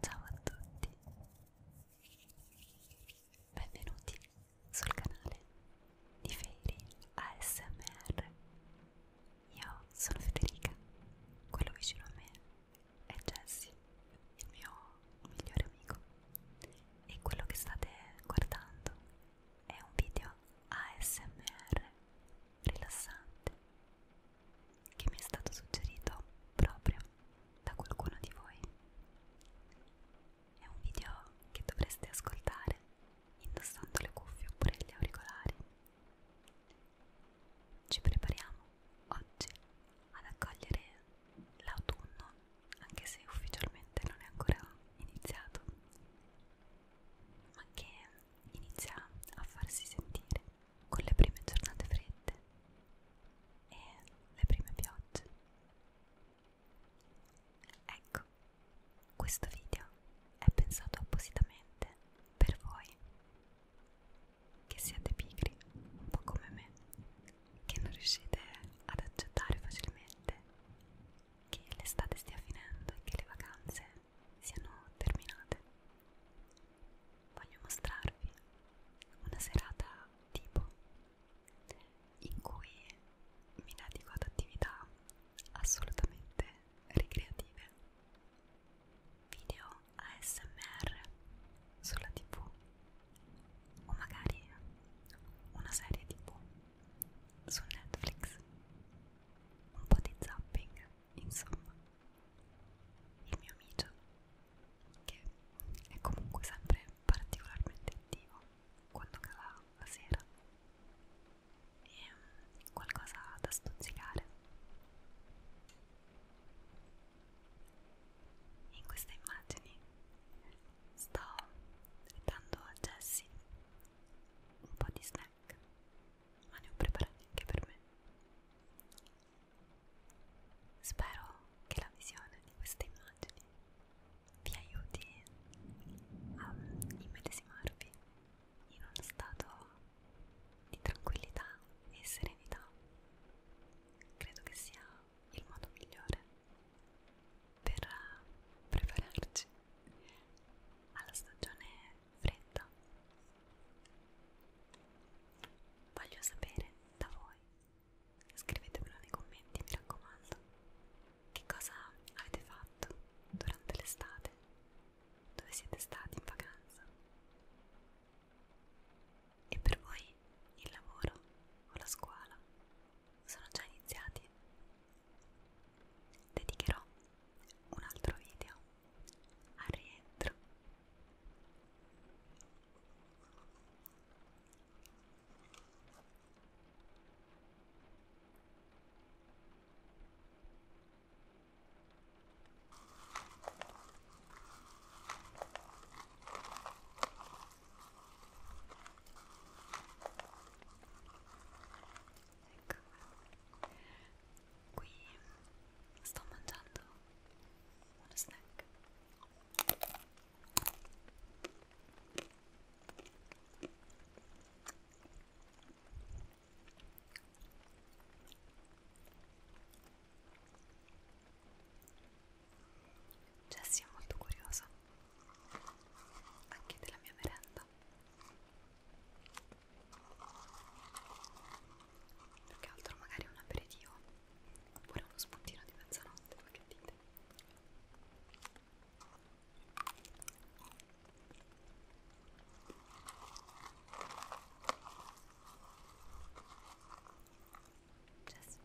Ciao a tutti, benvenuti sul canale di Fairy ASMR. Io sono Federica, quello vicino a me è Jessie, il mio un migliore amico e quello che state guardando è un video ASMR rilassante che mi è stato suggerito proprio da qualcuno di voi. È un video che dovreste ascoltare indossando le cuffie oppure gli auricolari. Ci prepariamo oggi ad accogliere l'autunno anche se ufficialmente non è ancora iniziato, ma che inizia a farsi sentire con le prime giornate fredde e le prime piogge. Ecco, questo video è pensato appositamente per voi che siete pigri, un po' come me, che non riuscite ad accettare facilmente che l'estate stia finendo e che le vacanze siano terminate. Voglio mostrarvi una serata tipo in cui mi dedico ad attività assolutamente ricreative. Video ASMR sulla tv o magari una serie tipo su Netflix, un po' di zapping, insomma. Il mio amico, che è comunque sempre particolarmente attivo quando cala la sera, e um, qualcosa da stuzzicare. In queste immagini sto dando a Jessie un po' di snack, ma ne ho preparati anche per me. Spero che la visione di queste immagini vi aiuti a immedesimarvi in uno stato di tranquillità e serenità. Credo che sia il modo migliore per eh, prepararci alla stagione fredda. Voglio sapere da voi, scrivetemelo nei commenti mi raccomando, che cosa avete fatto durante l'estate, dove siete stati in vacanza. E per voi studi, il lavoro o la scuola sono già iniziati. Dedicherò un altro video al rientro. Ecco. Qui sto mangiando uno snack. Jessie cioè, è molto curiosa anche della mia merenda. Più che altro magari un aperitivo oppure uno spuntino di mezzanotte, che dite? Jess cioè,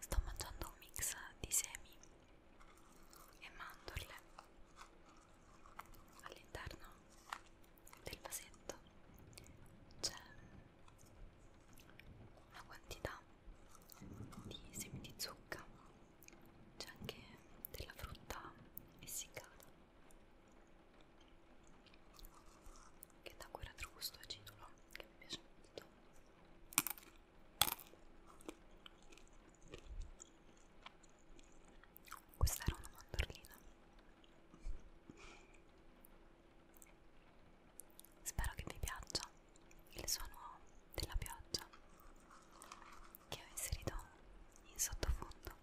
Sto mangiando un mix di semi e mandorle all'interno del vasetto c'è una quantità di semi di zucca c'è anche della frutta essiccata che dà quel retrogusto acidulo che mi piace molto questa era una mandorlina spero che vi piaccia il suono della pioggia che ho inserito in sottofondo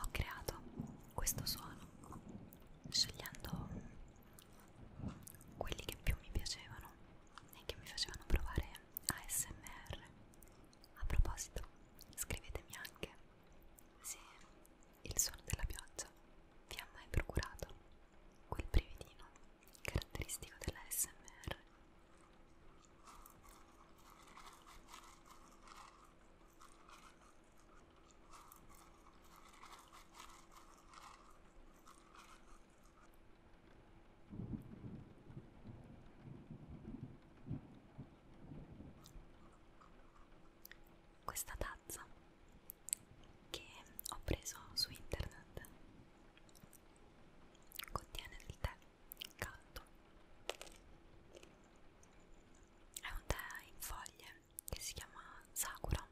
ho creato questo suono scegliendo quelli che più mi piacevano e che mi facevano provare ASMR. A proposito, scrivetemi anche se il suono della pioggia vi ha mai procurato quel brividino caratteristico dell'ASMR questa tazza che ho preso su internet contiene del tè caldo. È un tè in foglie che si chiama Sakura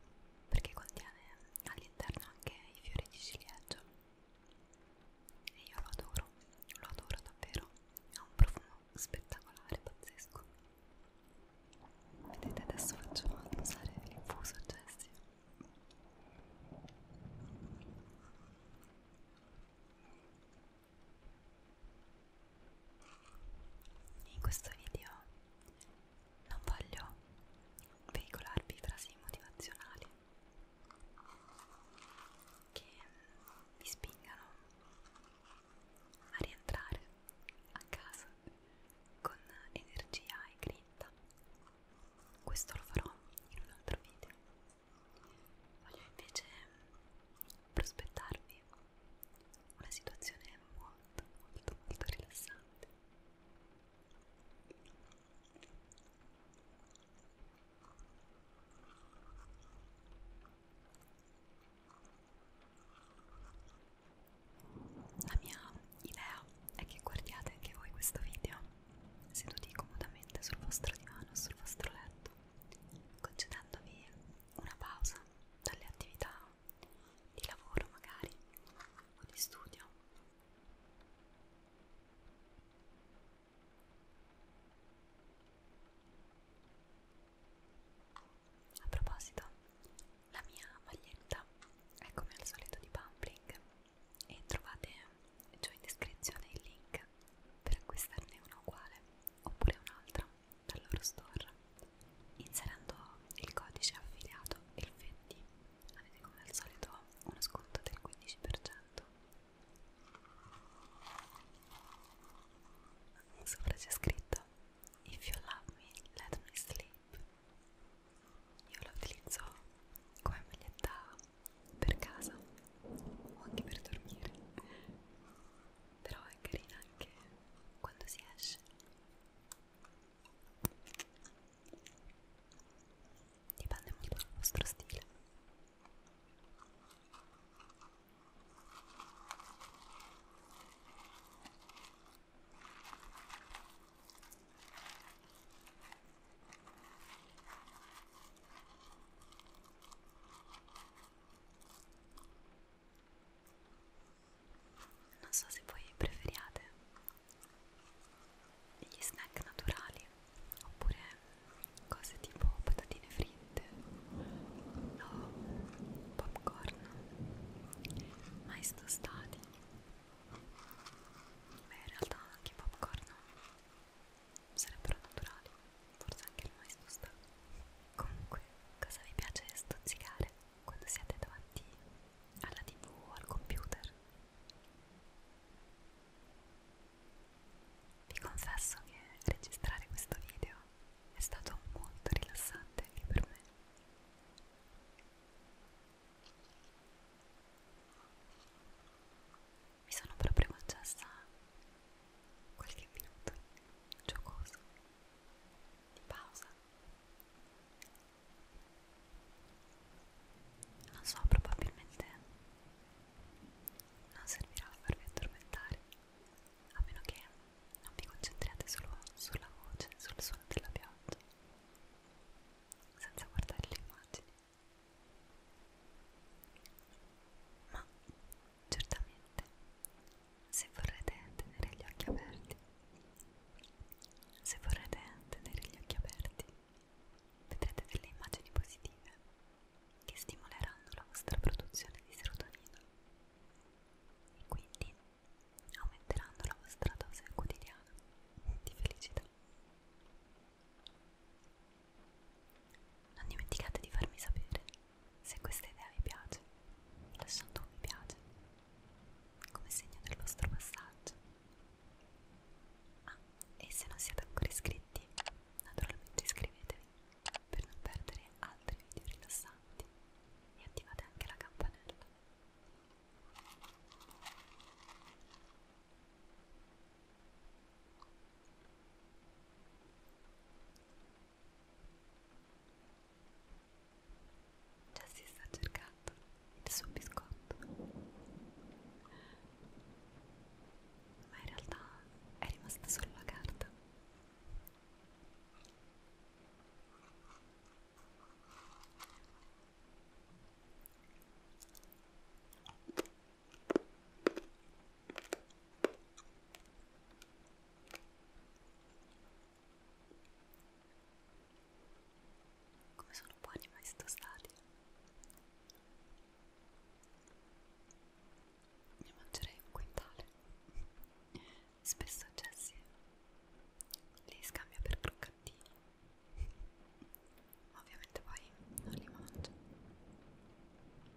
perché contiene all'interno anche i fiori di ciliegio e io lo adoro, lo adoro davvero, ha un profumo spettacolare, pazzesco. Vedete adesso faccio usare l'infuso Jessie. In questo video non voglio veicolarvi frasi motivazionali che vi spingano a rientrare a casa con energia e grinta. Questo lo farò in un altro video. Voglio invece prospettarvi una situazione molto, molto, molto rilassante. La mia idea è che guardiate anche voi questo video seduti comodamente sul vostro divano o sul vostro letto concedendovi una pausa dalle attività di lavoro magari o di studio. A proposito, la mia maglietta è come al solito di Pumpling e trovate giù in descrizione il link per acquistarne uno uguale oppure un'altra dal loro store inserendo il codice affiliato il 20 avete come al solito uno sconto del 15% sopra c'è scritto if you love me let me sleep io la utilizzo come maglietta per casa o anche per dormire però è carina anche quando si esce dipende molto dal vostro stile non so se voi preferiate gli snack naturali oppure cose tipo patatine fritte o popcorn, mais tostati. Beh, in realtà anche popcorn sarebbero naturali, forse anche il mais lo sta. Comunque, cosa vi piace stuzzicare quando siete davanti alla tv o al computer? Vi confesso che registrare questo video è stato molto rilassante anche per me mi sono proprio concessa qualche minuto giocoso di pausa non so probabilmente non servirà a farvi addormentare a meno che non vi concentriate solo sulla voce sul suono della pioggia senza guardare le immagini ma certamente se vorrete tenere gli occhi aperti se vorrete tenere gli occhi aperti vedrete delle immagini positive che stimoleranno la vostra produzione di serotonina e quindi aumenteranno la vostra dose quotidiana di felicità non dimenticate di farmi sapere se questa idea vi piace, lasciando un mi piace come segno del vostro passaggio. Ah, e se non siete ancora iscritti, naturalmente iscrivetevi per non perdere altri video rilassanti e attivate anche la campanella. Già cioè, si sta cercando il suo biscotto. Ma in realtà è rimasta solo la carta. Come sono buoni questi tostati. Ne mangerei un quintale. Spesso Jessie li scambia per croccantini. Ovviamente poi non li mangio. Rilassati. Rilassati. Rilassati.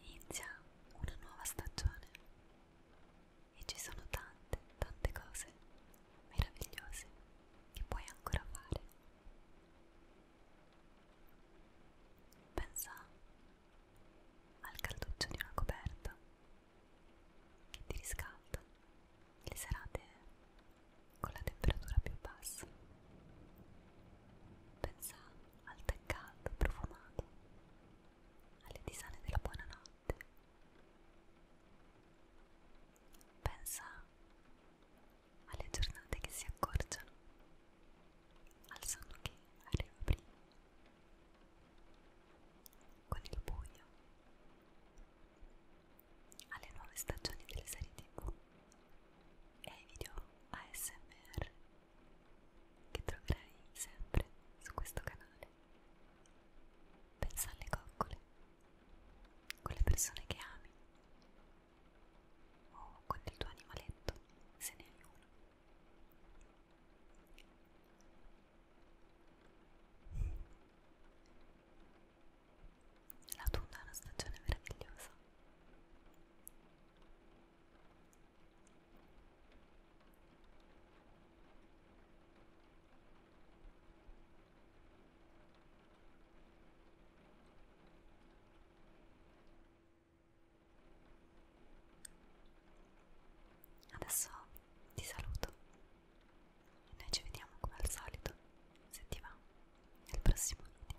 Inizia una nuova stagione e ci sono tante, tante cose meravigliose che puoi ancora fare. Pensa al calduccio di una coperta che ti riscalda le serate con la temperatura più bassa. Pensa al tè caldo, profumato, alle tisane della buonanotte. Pensa alle giornate che si accorciano, al sonno che arriva prima, con il buio alle nuove stagioni delle serie tv e ai video ASMR che troverai sempre su questo canale. Pensa alle coccole, con le persone che ami o con il tuo animaletto se ne hai uno. L'autunno è una stagione meravigliosa. Adesso ti saluto e noi ci vediamo come al solito, se ti va, nel prossimo video.